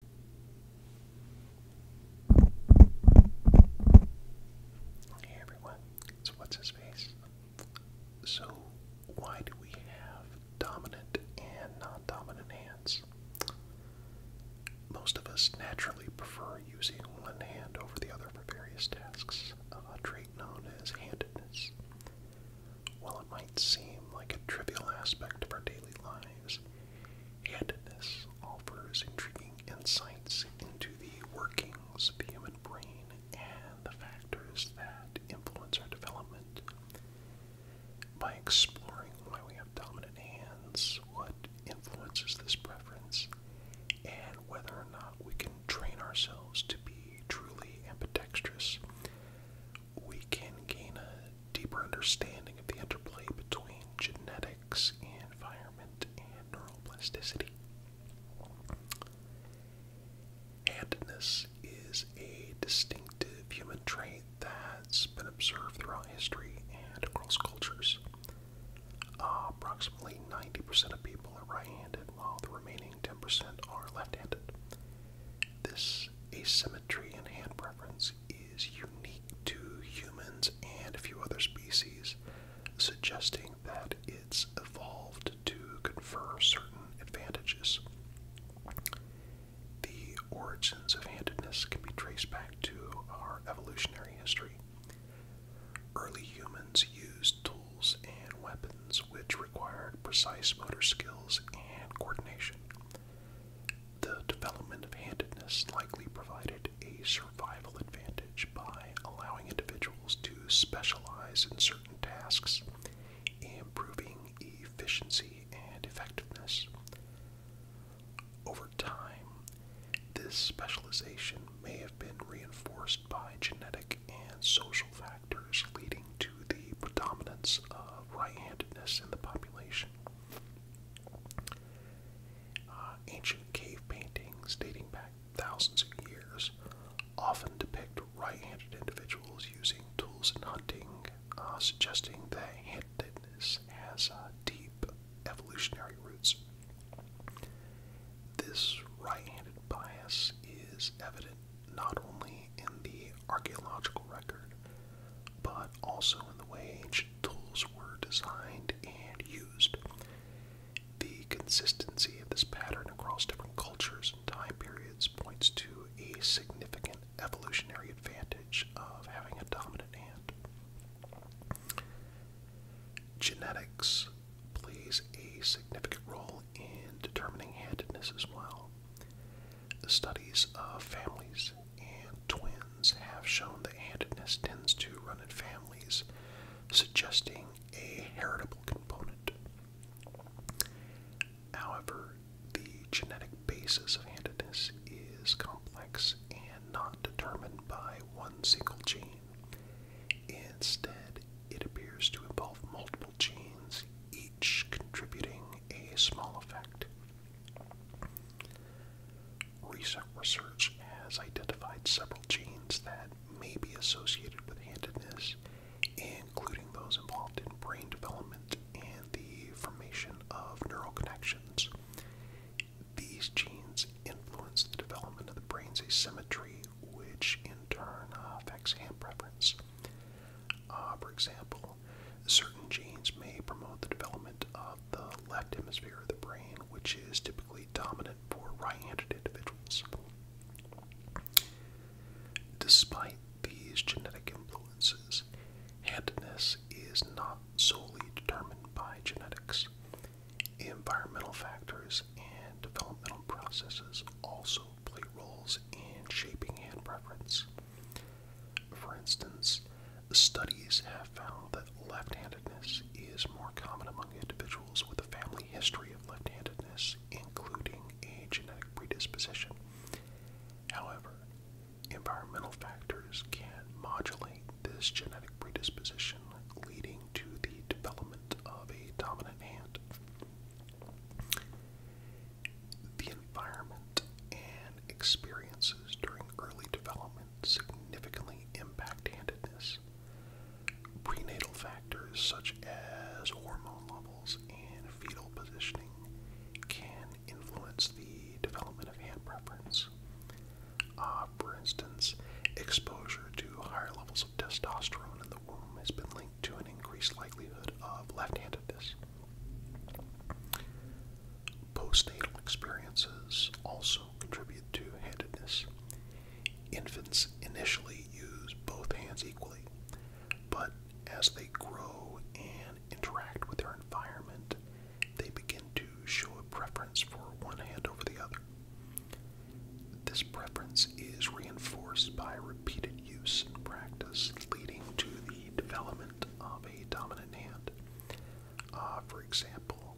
Hey everyone, it's What's His Face. So, why do we have dominant and non dominant hands? Most of us naturally prefer using one hand over the other for various tasks, a trait known as handedness. While it might seem like a trivial aspect of our daily lives, and this offers intriguing insights into the workings of the human brain and the factors that influence our development. By exploring why we have dominant hands, what influences this preference, and whether or not we can train ourselves to be truly ambidextrous, we can gain a deeper understanding of the interplay between genetics, environment, and neuroplasticity. Handedness is a distinctive human trait that's been observed throughout history and across cultures. approximately 90% of people are right handed, while the remaining 10% are left handed. This asymmetry in hand preference species unique to humans and a few other species, suggesting that it's evolved to confer certain advantages. The origins of handedness can be traced back to our evolutionary history. Early humans used tools and weapons which required precise motor skills and coordination. The development of handedness likely provided a survival advantage by allowing individuals to specialize in certain tasks, improving efficiency and effectiveness. Over time, this specialization may have been reinforced by genetic and social factors, leading to the predominance of right handedness in the population. Uh, ancient cave paintings dating back thousands of years often depict right-handed individuals using tools in hunting, uh, suggesting that handedness has uh, deep evolutionary roots. This right-handed bias is evident not only in the archaeological record, but also in the way ancient tools were designed and used. The consistency of this pattern across different cultures and time periods points to a significant evolutionary advantage of having a dominant hand. Genetics plays a significant role in determining handedness as well. The studies of families and twins have shown that handedness tends to run in families, suggesting a heritable component. However, the genetic basis of handedness is complex and not determined by one single gene. Instead, it appears to involve multiple genes, each contributing a small effect. Recent research has identified several genes that may be associated with handedness, including those involved in brain development and the formation of neural connections. These genes influence the development of the brain's asymmetry, which in turn uh, affects hand preference. Uh, for example, certain genes may promote the development of the left hemisphere of the brain, which is typically dominant for right-handed individuals. Despite these genetic influences, handedness is not solely determined by genetics. Environmental factors and developmental processes also play roles in shaping hand preference. For instance, studies have found that left handedness is more common among individuals with a family history of left handedness, including a genetic predisposition. However, environmental factors can modulate this genetic predisposition, leading to the development of a dominant hand. The environment experiences during early development significantly impact handedness. Prenatal factors such as hormone levels and fetal positioning can influence the development of hand preference. Uh, for instance, exposure to higher levels of testosterone in the womb has been linked to an increased likelihood of left handedness. Postnatal experiences also contribute to handedness. Infants initially use both hands equally, but as they grow and interact with their environment, they begin to show a preference for one hand over the other. This preference is reinforced by repeated use and practice, leading to the development of a dominant hand. Ah, for example,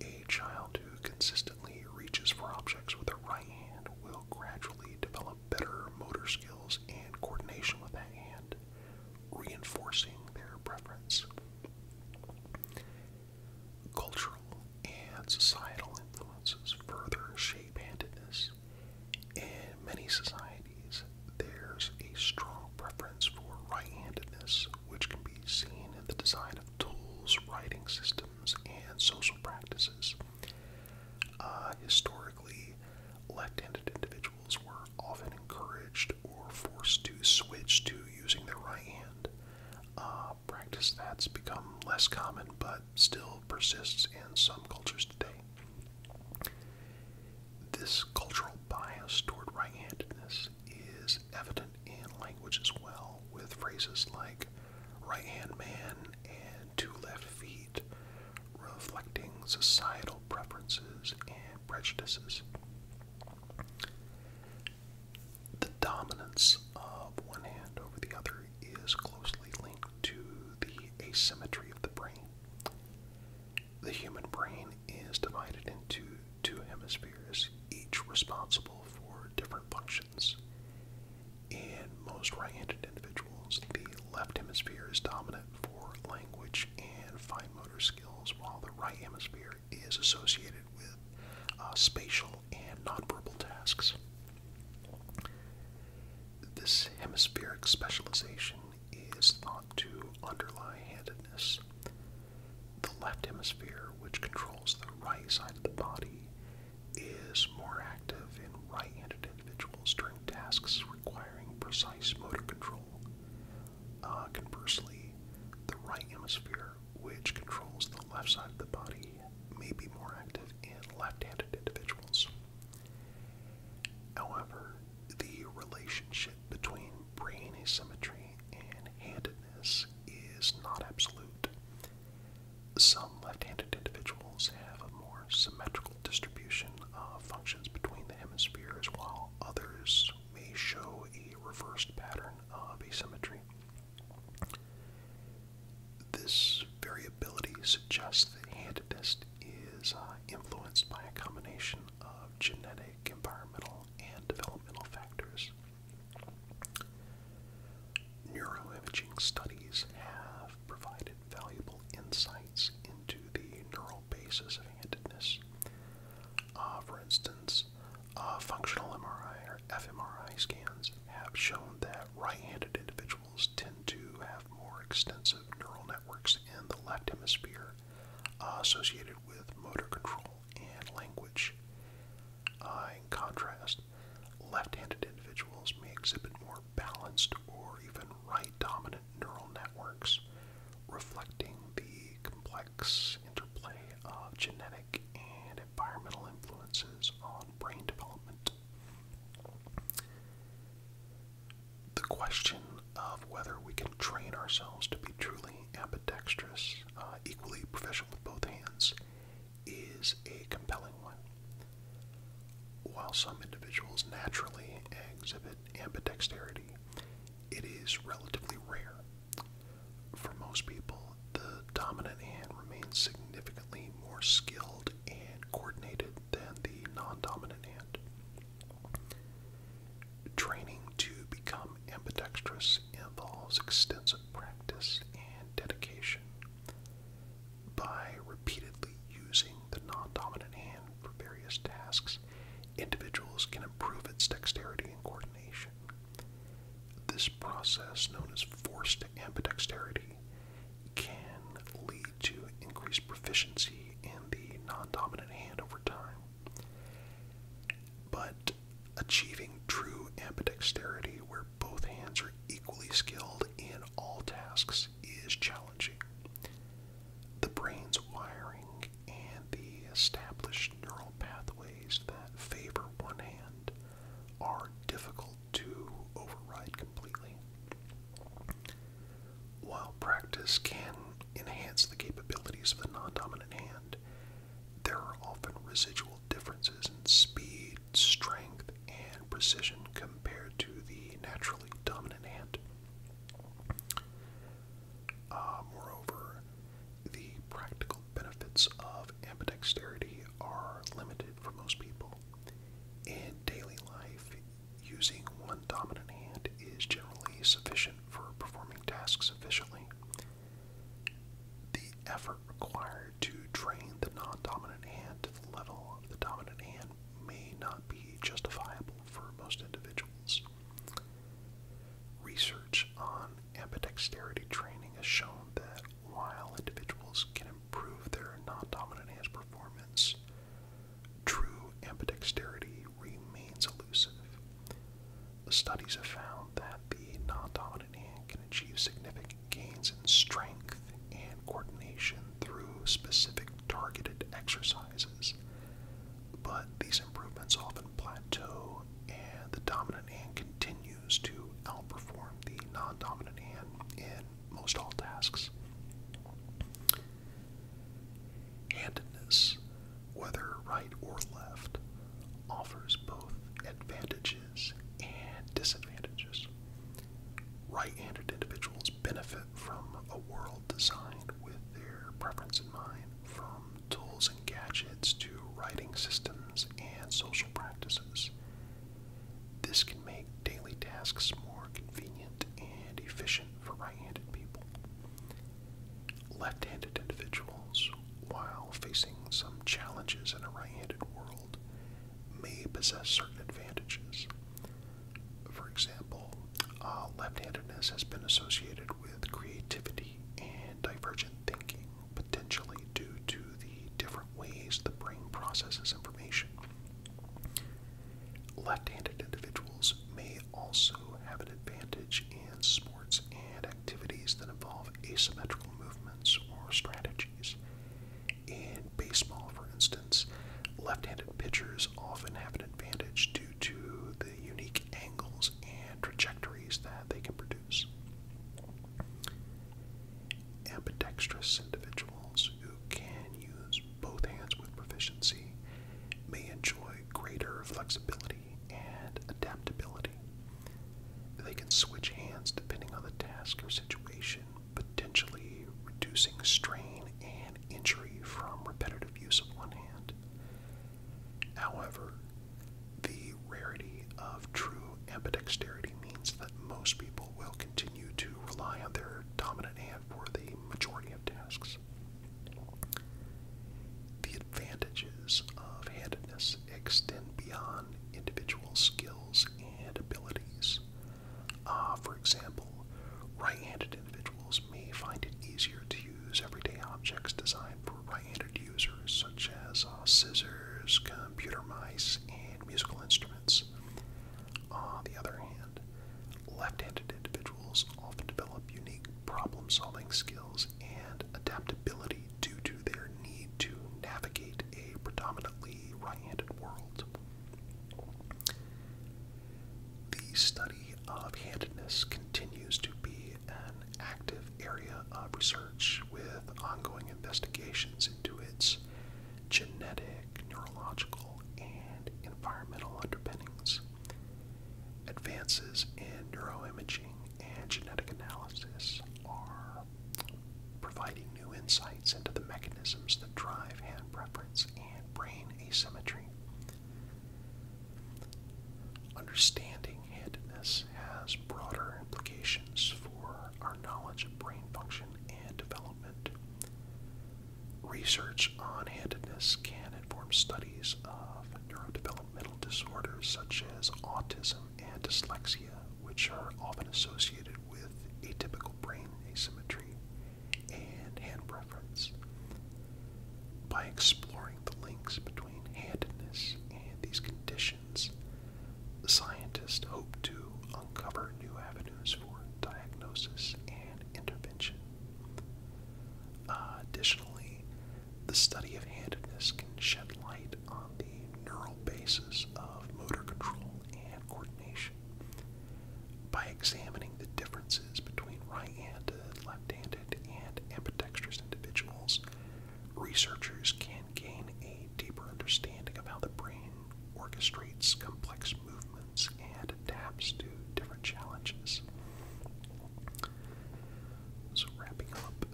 a child who consistently reaches for objects with their right hand will gradually develop better motor skills and coordination with that hand, reinforcing their preference. Cultural and societal influences further shape handedness. In many societies, there's a strong preference for right handedness which can be seen in the design of tools, writing systems, and social practices. Uh, historically, left handed individuals were often encouraged or forced to switch to using their right hand. Uh, practice that's become less common but still persists in some cultures today. This cultural bias toward right handedness is evident in language as well, with phrases like right hand man and two left feet reflecting societal preferences and prejudices. The dominance of one hand over the other is closely linked to the asymmetry of the brain. The human brain is divided into two hemispheres, each responsible for different functions. In most right handed individuals, the left hemisphere is dominant for language and fine motor skills, while the right hemisphere is associated with uh, spatial and nonverbal tasks. This hemispheric specialization is thought to underlie handedness, the left hemisphere, which controls the right side of the body, is more active in right handed individuals during tasks requiring precise motor control. Uh, conversely, the right hemisphere, which controls the left side of the body, may be more active in left handed individuals. However, the relationship between brain asymmetry and handedness is not absolute. Some left-handed individuals have a more symmetrical distribution of functions between the hemispheres, while others may show a reversed pattern of asymmetry. This variability suggests that handedness is uh, influenced by a combination of genetic, environmental, and developmental factors. Neuroimaging studies have provided valuable insights into the neural basis of handedness. Uh, for instance, uh, functional MRI or fMRI scans have shown that right handed individuals tend to have more extensive neural networks in the left hemisphere uh, associated with motor control language. Uh, in contrast, left-handed individuals may exhibit more balanced or even right-dominant neural networks, reflecting the complex interplay of genetic and environmental influences on brain development. The question of whether we can train ourselves to be truly ambidextrous, uh, equally proficient with both hands, is a compelling one. While some individuals naturally exhibit ambidexterity, it is relatively rare. For most people, the dominant hand remains significantly more skilled and coordinated than the non dominant hand. Training to become ambidextrous involves extensive practice and dedication. By repeatedly using the non dominant hand for various tasks, individuals can improve its dexterity and coordination. This process, known as forced ambidexterity, can lead to increased proficiency in the non dominant hand over time. But achieving true ambidexterity, where both hands are equally skilled in all tasks, is challenging. The brain's wiring and the established neural pathways that favor one hand are difficult to override completely. While practice can enhance the capabilities of the non dominant hand, there are often residual differences in speed, strength, and precision compared to the naturally dominant hand. Uh, moreover, the practical benefits of ambidexterity are limited for most people. In daily life, using one dominant hand is generally sufficient for performing tasks efficiently. The effort required to train the non dominant hand to the level of the dominant hand may not be justifiable for most individuals. Research on ambidexterity training has shown that while individuals can improve their non dominant hand performance, true ambidexterity remains elusive. The studies have found that the non dominant hand can achieve significant gains in strength and coordination through specific targeted exercises. But these improvements often plateau, and the dominant hand continues to outperform the non dominant hand in most all tasks. Handedness whether right or left, offers both advantages and disadvantages. Right handed individuals benefit from a world designed with their preference in mind, from tools and gadgets to writing systems and social practices. This can make daily tasks more convenient and efficient for right handed people. Left-handed individuals, while facing some challenges in a right-handed world, may possess certain advantages. For example, uh, left-handedness has been associated with creativity and divergent thinking, potentially due to the different ways the brain processes information. Left-handed individuals may also have an advantage in sports and activities that involve asymmetrical movements or strategies. In baseball, for instance, left handed pitchers often have an advantage due to the unique angles and trajectories that they can produce. Ambidextrous individuals who can use both hands with proficiency may enjoy greater flexibility and adaptability. They can switch hands depending on the task or situation, potentially reducing strain and injury from repetitive use of one hand. However, the rarity of true ambidexterity means that most people will continue to rely on their dominant hand for the majority of tasks. The advantages of handedness extend beyond individual skills and abilities. Ah, for example, right handed individuals may find it easier to use everyday objects designed for right handed users, such as uh, scissors, computer mice, and musical instruments. On the other hand, left handed individuals often develop unique problem solving skills and adaptability due to their need to navigate a predominantly right handed world. The study of handedness continues to be an active area of research with ongoing investigations into its genetic, neurological, and environmental underpinnings. Advances in neuroimaging and genetic analysis are providing new insights into the mechanisms that drive hand preference and brain asymmetry. Understanding handedness has broader implications for our knowledge of brain function and development. Research on handedness can inform studies of neurodevelopment developmental disorders such as autism and dyslexia, which are often associated with atypical brain asymmetry and hand preference. By exploring the links between handedness and these conditions, scientists hope to uncover new avenues for diagnosis and intervention. additionally, the study of handedness can shed light on the neural basis of motor control and coordination. By examining the differences between right-handed, left-handed, and ambidextrous individuals, researchers can gain a deeper understanding of how the brain orchestrates complex movements and adapts to different challenges. So, wrapping up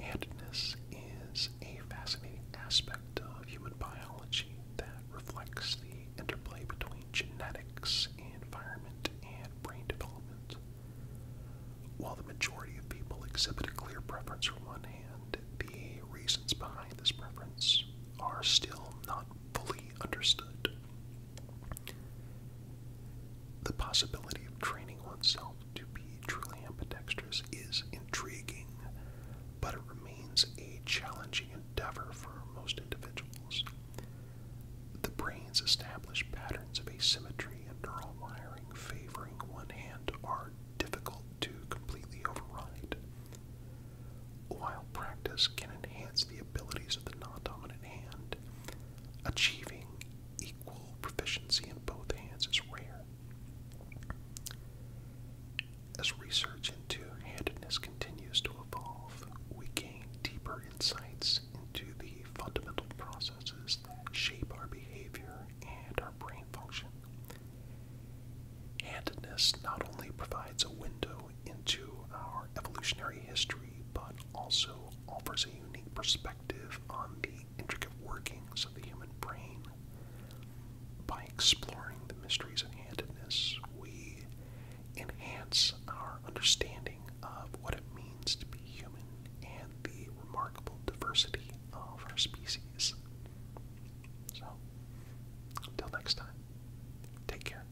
Handedness is a fascinating aspect of human biology that reflects the interplay between genetics, environment, and brain development. While the majority of people exhibit a clear preference for one hand, the reasons behind this preference are still not fully understood. The possibility of training oneself to be truly ambidextrous is intriguing, but it remains a challenging endeavor for most individuals. The brain's established patterns of asymmetry and neural wiring favoring one hand are difficult to completely override. While practice can enhance the abilities of the non dominant hand, achieving equal proficiency in both hands is rare. As research into handedness continues to evolve, we gain deeper insights into the fundamental processes that shape our behavior and our brain function. Handedness not only provides a window into our evolutionary history, but also offers a unique perspective on the intricate workings of the human brain. By exploring the mysteries of handedness, we enhance our understanding of what it means to be human and the remarkable diversity of our species. So, until next time, take care.